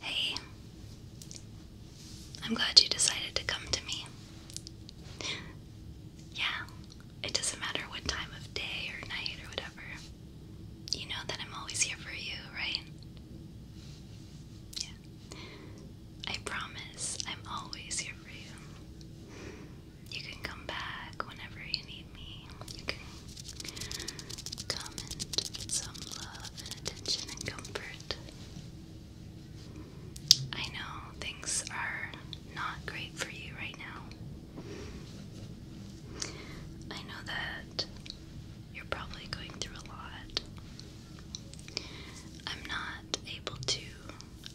Hey, I'm glad you decided to come to me. Yeah, it doesn't matter what time of day or night or whatever. You know that I'm always here for you, right? Yeah. I promise I'm always here for you. You can come back whenever you need me. Comment some love and attention and comfort. I know things are not great for you right now. I know that you're probably going through a lot. I'm not able to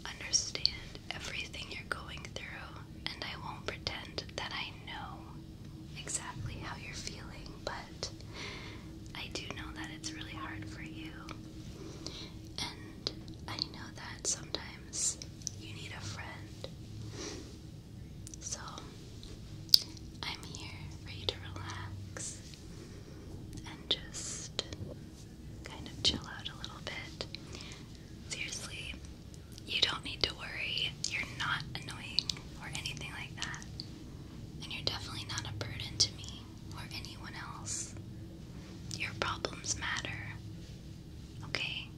understand everything you're going through, and I won't pretend that I know exactly how you're feeling, but I do know that it's really hard for you. And I know that sometimes you need a friend. So I'm here for you to relax and just kind of chill out a little bit. Seriously, you don't need to worry. You're not annoying or anything like that. And you're definitely not a burden to me or anyone else. Your problems matter, okay?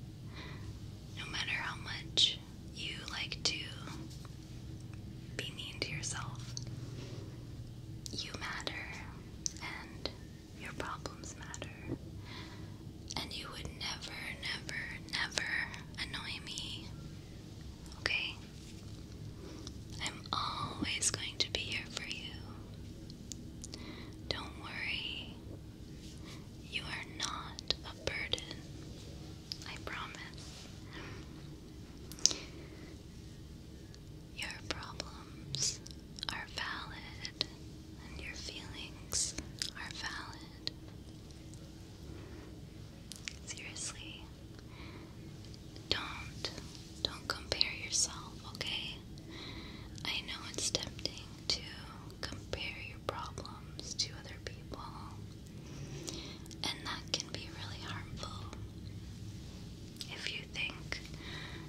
No matter how much you like to be mean to yourself, you matter and your problems matter. And you would never, never, never annoy me Okay? I'm always going to be here for you. Don't worry. You are not a burden. I promise. Your problems are valid and your feelings are valid. Seriously, don't don't compare yourself, okay? I know it's tempting to compare your problems to other people, and that can be really harmful. If you think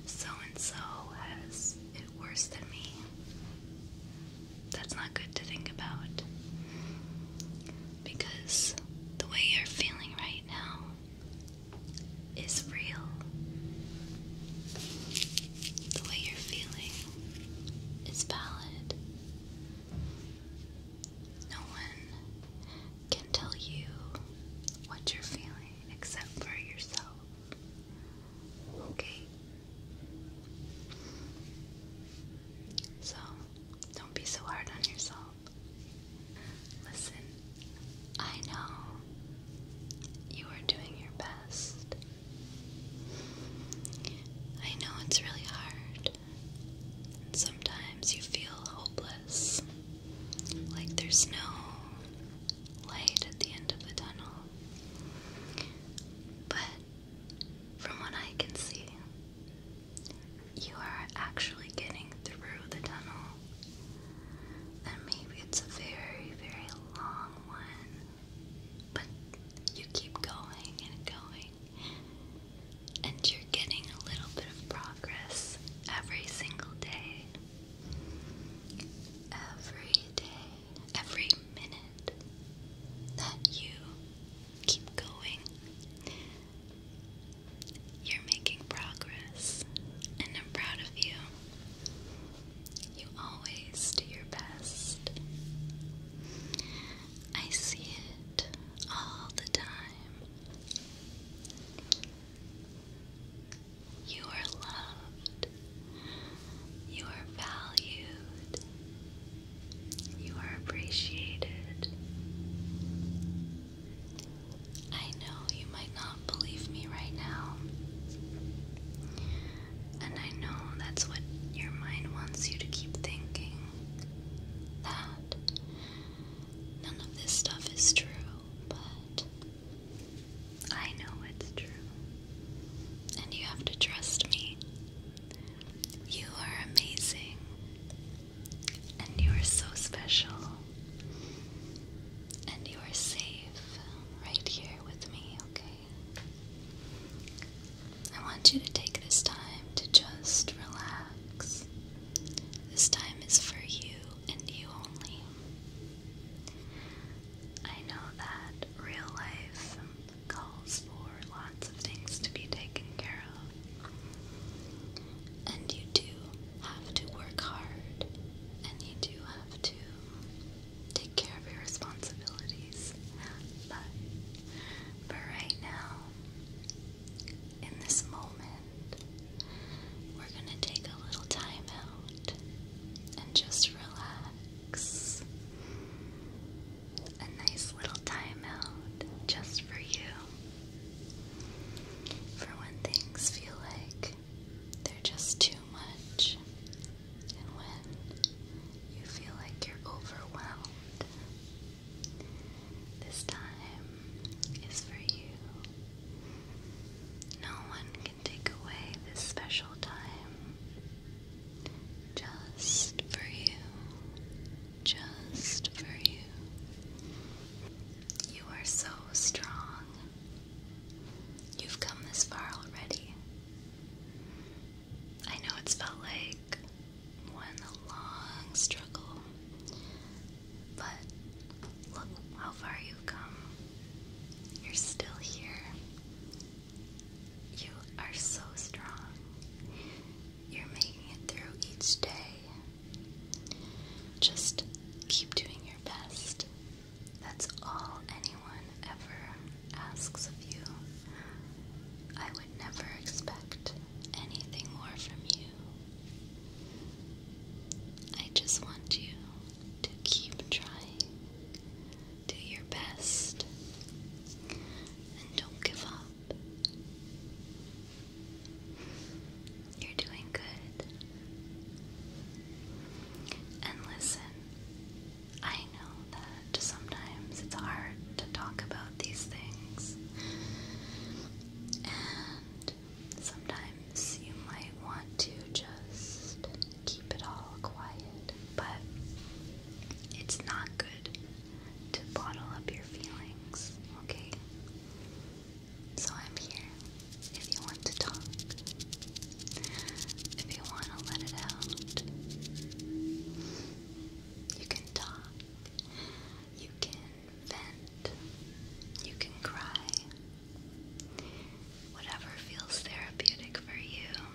so and so has it worse than me, that's not good to think about. Because the way you're feeling right now is real. The way you're feeling is valid. No one can tell you what you're feeling except for yourself. Okay? So, don't be so hard on yourself. Listen, I know you are doing your best. I know it's really hard. sometimes you feel hopeless, like there's no light at the end of the tunnel. But from what I can see, you are actually getting through the tunnel. And maybe it's a very, very long one. But you keep going and going. And you're getting a little bit of progress every single day. Every day every minute that you keep going, you're making progress, and I'm proud of you. You always do your best. I see it all the time. You are loved. You are valued. You are appreciated. I know you might not believe me right now. And I know that's what your mind wants you to keep thinking. That none of this stuff is true, but I know it's true. And you have to trust me. You are amazing, and you are so special, and you are safe right here with me, okay? I want you to take this time to just relax. This time is for you and you only. I know that real life calls for lots of things to be taken care of. And you do have to work hard, and you do have to take care of your responsibilities. But for right now, in this moment, we're going to take a little time out and just relax a nice little timeout just for you. For when things feel like they're just too much, and when you feel like you're overwhelmed, this time is for you. No one can take away this special time. Just for you. Just for you. You are so strong. You've come this far already. I know it's felt like one long struggle, but look how far you've come. You're still here. You are so strong. You're making it through each day. Just keep doing your best. That's all anyone ever asks of you. I would never expect anything more from you. I just want you to keep trying. Do your best and don't give up. You're doing good. And listen, I know that sometimes it's hard to talk about these things, and sometimes you might want to just keep it all quiet, but it's not good to bottle up your feelings, okay? So I'm here if you want to talk, if you want to let it out. You can talk, you can vent, you can cry, whatever feels therapeutic for you.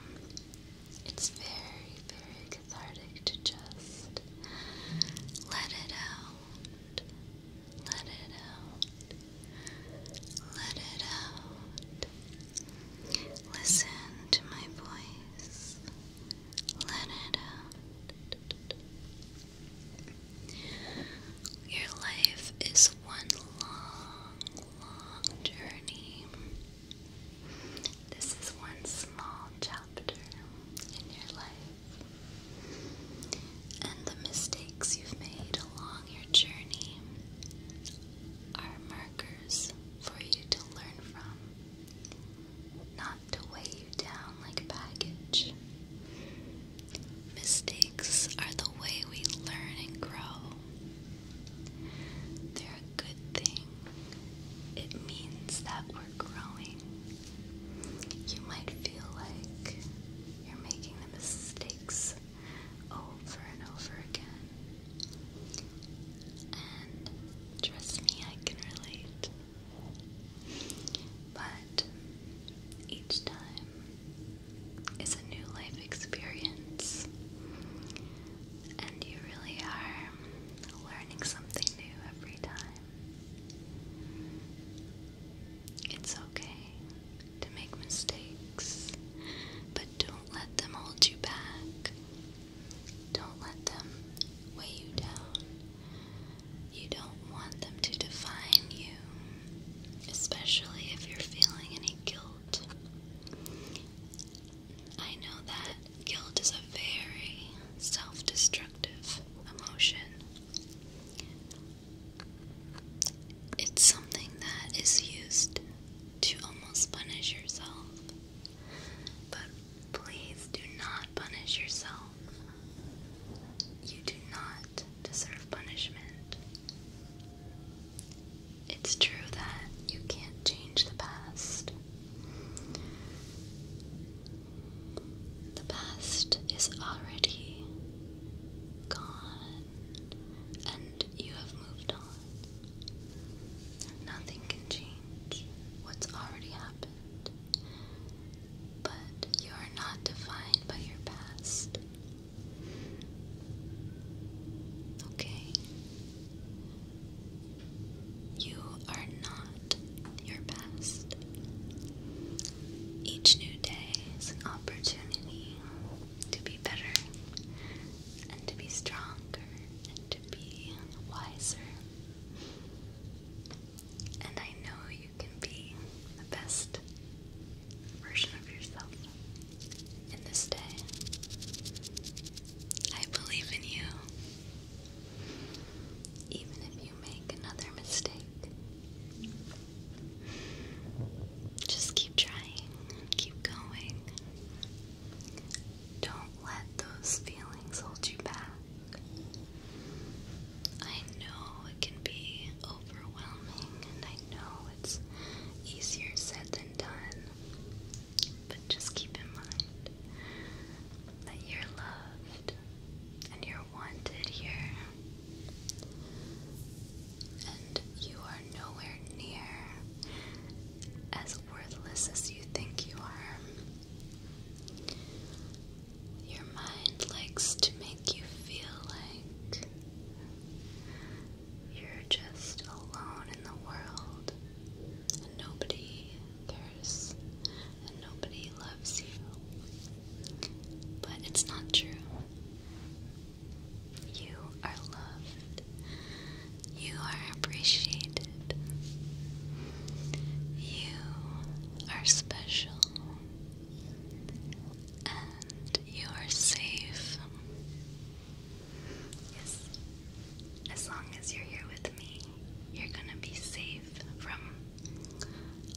It's very, very cathartic to just let it out. Let it out. Let it out. Listen to my voice. Let it out. Your life is one long, long journey. This is one small chapter in your life. And the mistakes you've made along your journey are markers for you to learn from, not to weigh you down like baggage. Mistakes are the way we learn and grow. They're a good thing. It means that we're growing. You might feel like you're making the mistakes over and over again. And trust me, I can relate. But each time is a new life experience, and you really are learning something new every time. It's okay to make mistakes, but don't let them hold you back. Don't let them weigh you down. You don't want them to define you, especially if you're feeling any guilt I know that guilt is a very self destructive emotion. It's something that is used to almost punish yourself. But please do not punish yourself. You do not deserve punishment. It's true that you can't change the past. The past is already gone, and you have moved on. Nothing can change what's already happened, but you are not defined by your past. Okay. You are not your best. Each new day is an opportunity to be better and to be stronger and to be wiser. And I know you can be the best version of yourself in this day. I believe in you. Even if you make another mistake, just keep trying, keep going. Don't let those feelings hold you back. I know it can be overwhelming, and I know it's easier said than done. But just keep in mind that you're loved and you're wanted here. And you are nowhere near as worthless as you think you are. Your mind likes to make you feel like you're just alone in the world, and nobody cares, and nobody loves you. But it's not true. You are loved, you are appreciated, you are special and you are safe. Yes, as long as you're here with me, you're gonna be safe from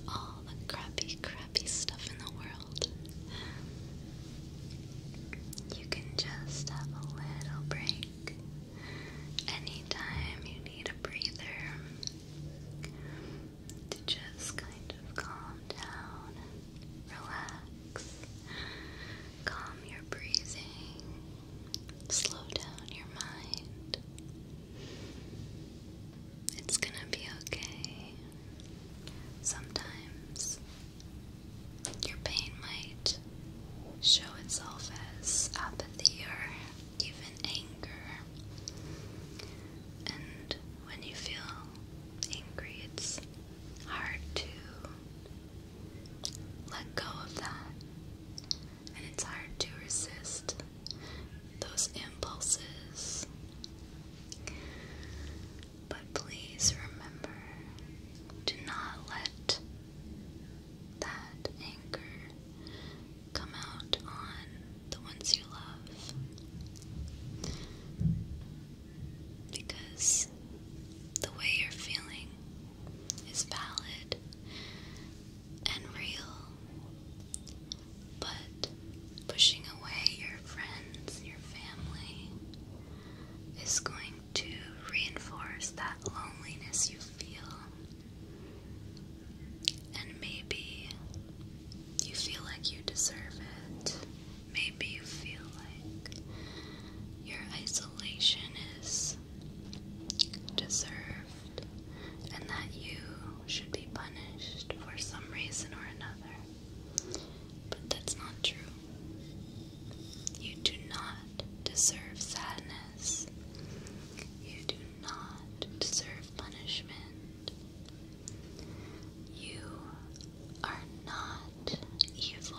all the crappy, crappy stuff in the world. You can just have a little break anytime you need a breather to just kind of calm down relax. Calm your breathing. Slow down your mind. It's gonna be okay. Sometimes your pain might show itself as apathy or even anger. And when you feel angry, it's hard to let go of that, and it's hard to resist those impulses. But please remember do not let that anger come out on the ones you love because the way you're feeling is valid and real, but pushing away your friends, your family, is going to reinforce that loneliness you feel. And maybe you feel like you deserve it. Maybe you feel like your isolation is deserved and that you should be punished for some reason or another. But that's not true. You do not deserve sadness. You do not deserve punishment. You are not evil.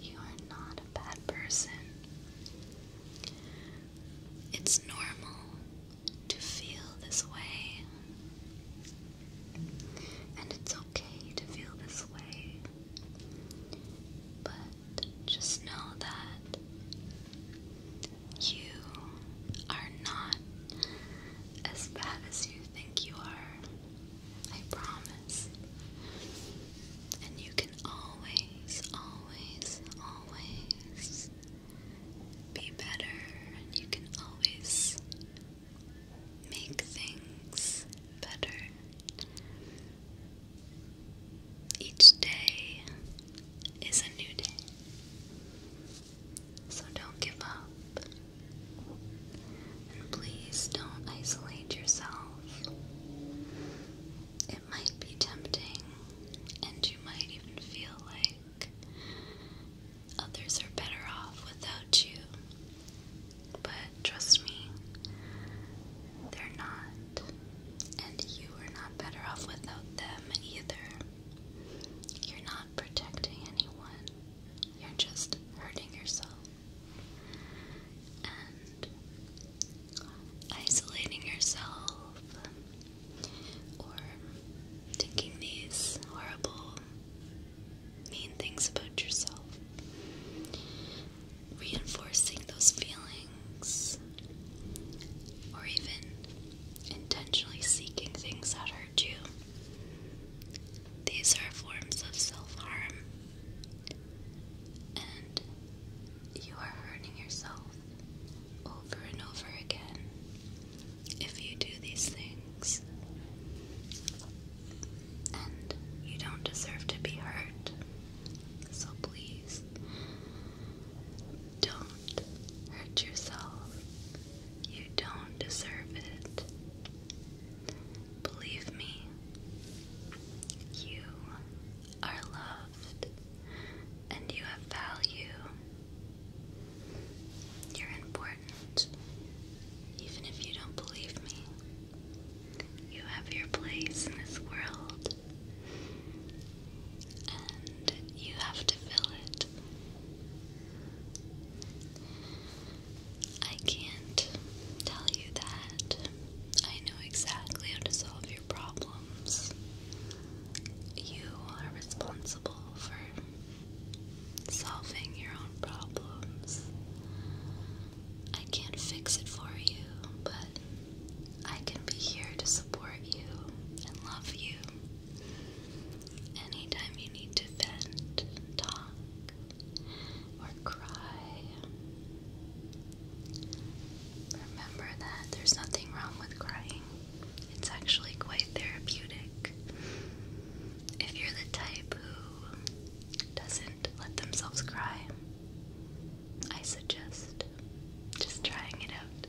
You are not a bad person. It's normal to feel this way. And it's okay to feel this way. But just know that you are not as bad as you think you are. I promise. And you can always, always, always be better, and you can always make things better. Each day is a new day. So don't give up. And please don't isolate yourself. It might be tempting, and you might even feel like others are better off without you. But trust me, they're not. And you are not better off without them either. You're not protecting anyone, you're just hurting yourself. And isolating yourself or thinking these horrible, mean things about yourself, reinforcing those feelings, or even intentionally seeking things that hurt you these are forms of self harm, and you are hurting yourself over and over again if you do these things. And you don't deserve to be hurt. So please don't hurt yourself you don't deserve it. Believe me, you are loved and you have value. You're important. Even if you don't believe me, you have your place in this world. And you have to fill it I can't tell you that I know exactly how to solve your problems. You are responsible for solving your own problems. I can't fix it for you, but I can be here to support you and love you Anytime you need to vent, talk, or cry, remember that there's nothing wrong with crying. It's actually quite therapeutic. If you're the type who doesn't let themselves cry, I suggest just trying it out.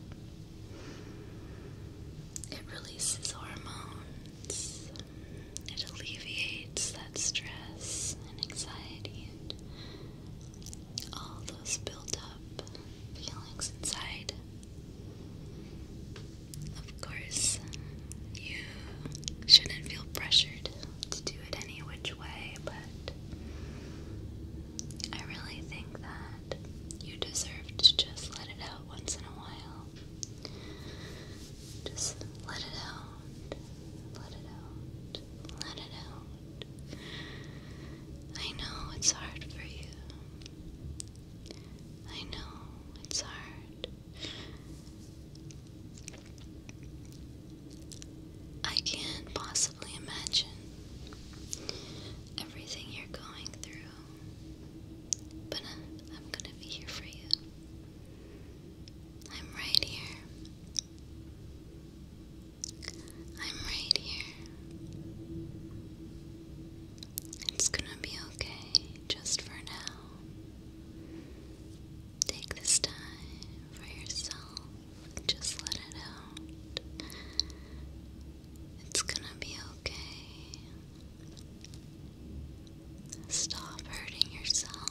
It releases hormones, it alleviates that stress and anxiety and all those built up feelings inside. Of course, you shouldn't feel pressured to do it any which way, but I really think that you deserve to just let it out once in a while. Just let it out. Let it out. Let it out. I know it's hard for you. I know it's hard. I can't possibly imagine everything you're going through. But uh, I'm gonna be here for you. I'm right here. I'm right here. It's gonna be okay just for now. Take this time for yourself. Just let it out. It's gonna be okay. Stop hurting yourself.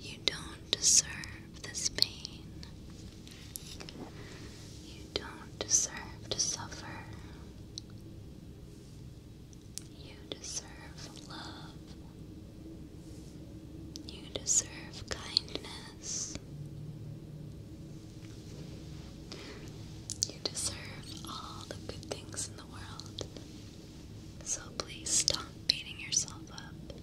You don't deserve this pain. You don't deserve to suffer. You deserve love. You deserve kindness. You deserve all the good things in the world, so please stop beating yourself up.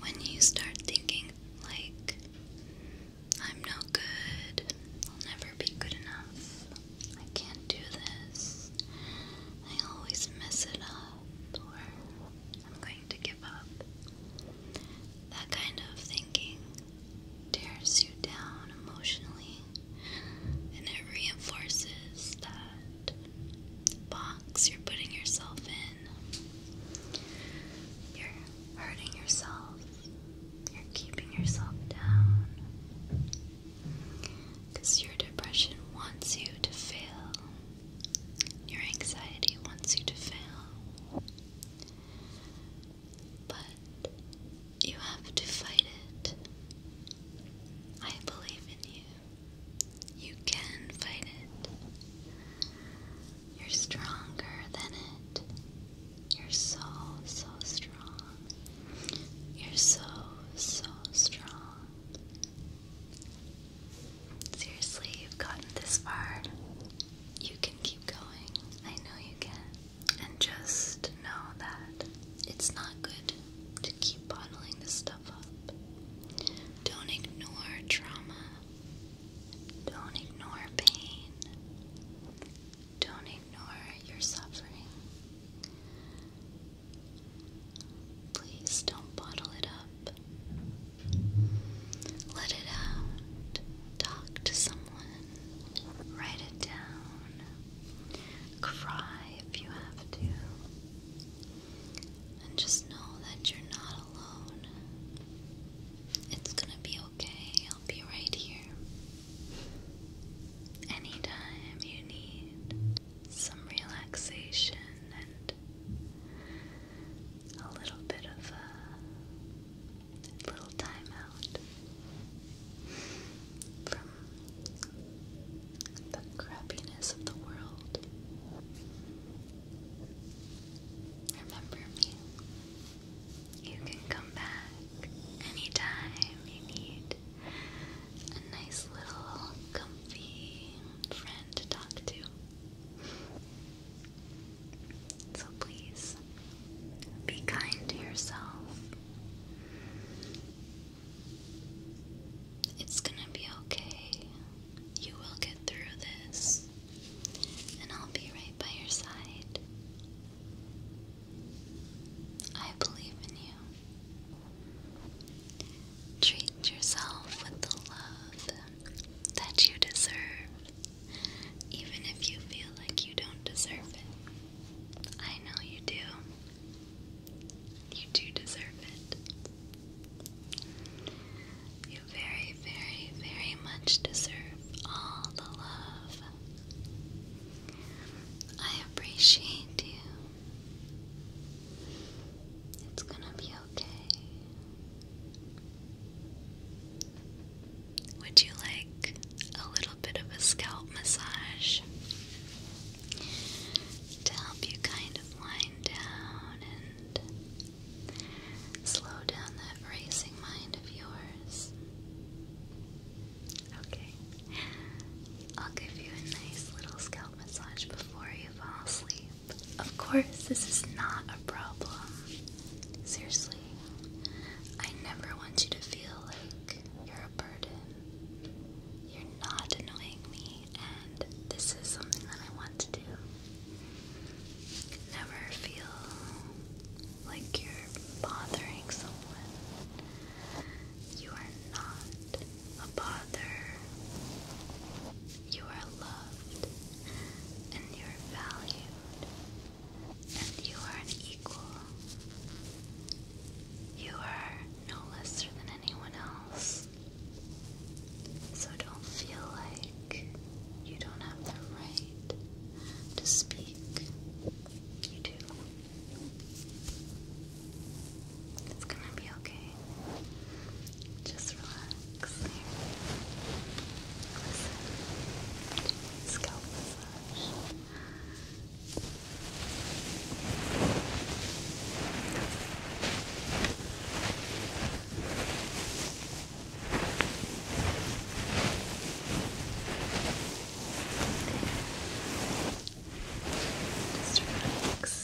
When you start thinking, like, I'm no good, I'll never be good enough, I can't do this, I always mess it up, or I'm to give up. That kind of thinking tears you down emotionally, and it reinforces that box you're putting yourself in. You're hurting yourself, you're keeping yourself down. Because your depression wants you to fail, your anxiety wants you to fail. But you have to fight it. I believe in you. You can fight it. You're stronger than it. You're so, so strong. You're so, so strong. Seriously, you've gotten this far. You can keep going. I know you can. And just know that it's not good to keep bottling this stuff up. Don't ignore trauma. Don't ignore pain. Don't ignore your suffering. Please don't bottle it up. Let it out. Talk to someone. Write it down. Cry if you have to. And just know that you're not alone. It's gonna be okay. I'll be right here. Anytime you need some relaxation and a little bit of a little timeout from the crappiness of the world. Remember me. You can come back anytime you need a nice little comfy friend to talk to. So please be kind to yourself. It's gonna be okay. You will get through this, and I'll be right by your side. I believe in you. Treat yourself with the love that you deserve, even if you feel like you don't deserve it. I know you do. You do deserve it. You very, very, very much deserve all the love. I appreciate you. It's gonna be okay. Would you like a little bit of a scalp massage to help you kind of wind down and slow down that racing mind of yours? Okay, I'll give you a nice little scalp massage before you fall asleep. Of course, this is not a problem. Seriously, I never want you to feel like you're a burden. You're not annoying me, and this is something that I want to do. Never feel like you're bothering someone. You are not a bother. You are loved and you're valued and you are an equal. You are no lesser than anyone else. So don't feel like you don't have the right to speak. You do. It's gonna be okay. Just relax here. Listen to my scalp massage. Just relax.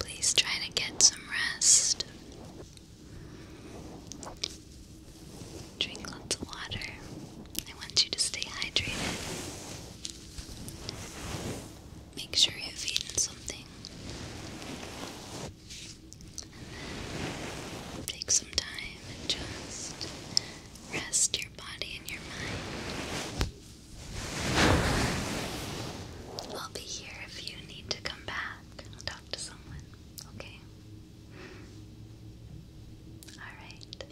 Please try to get some rest. Drink lots of water. I want you to stay hydrated. Make sure you've eaten something. Take some time and just rest your body and your mind. I'll be here if you need to come back. talk to someone, okay? Alright.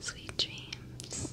Sweet dreams.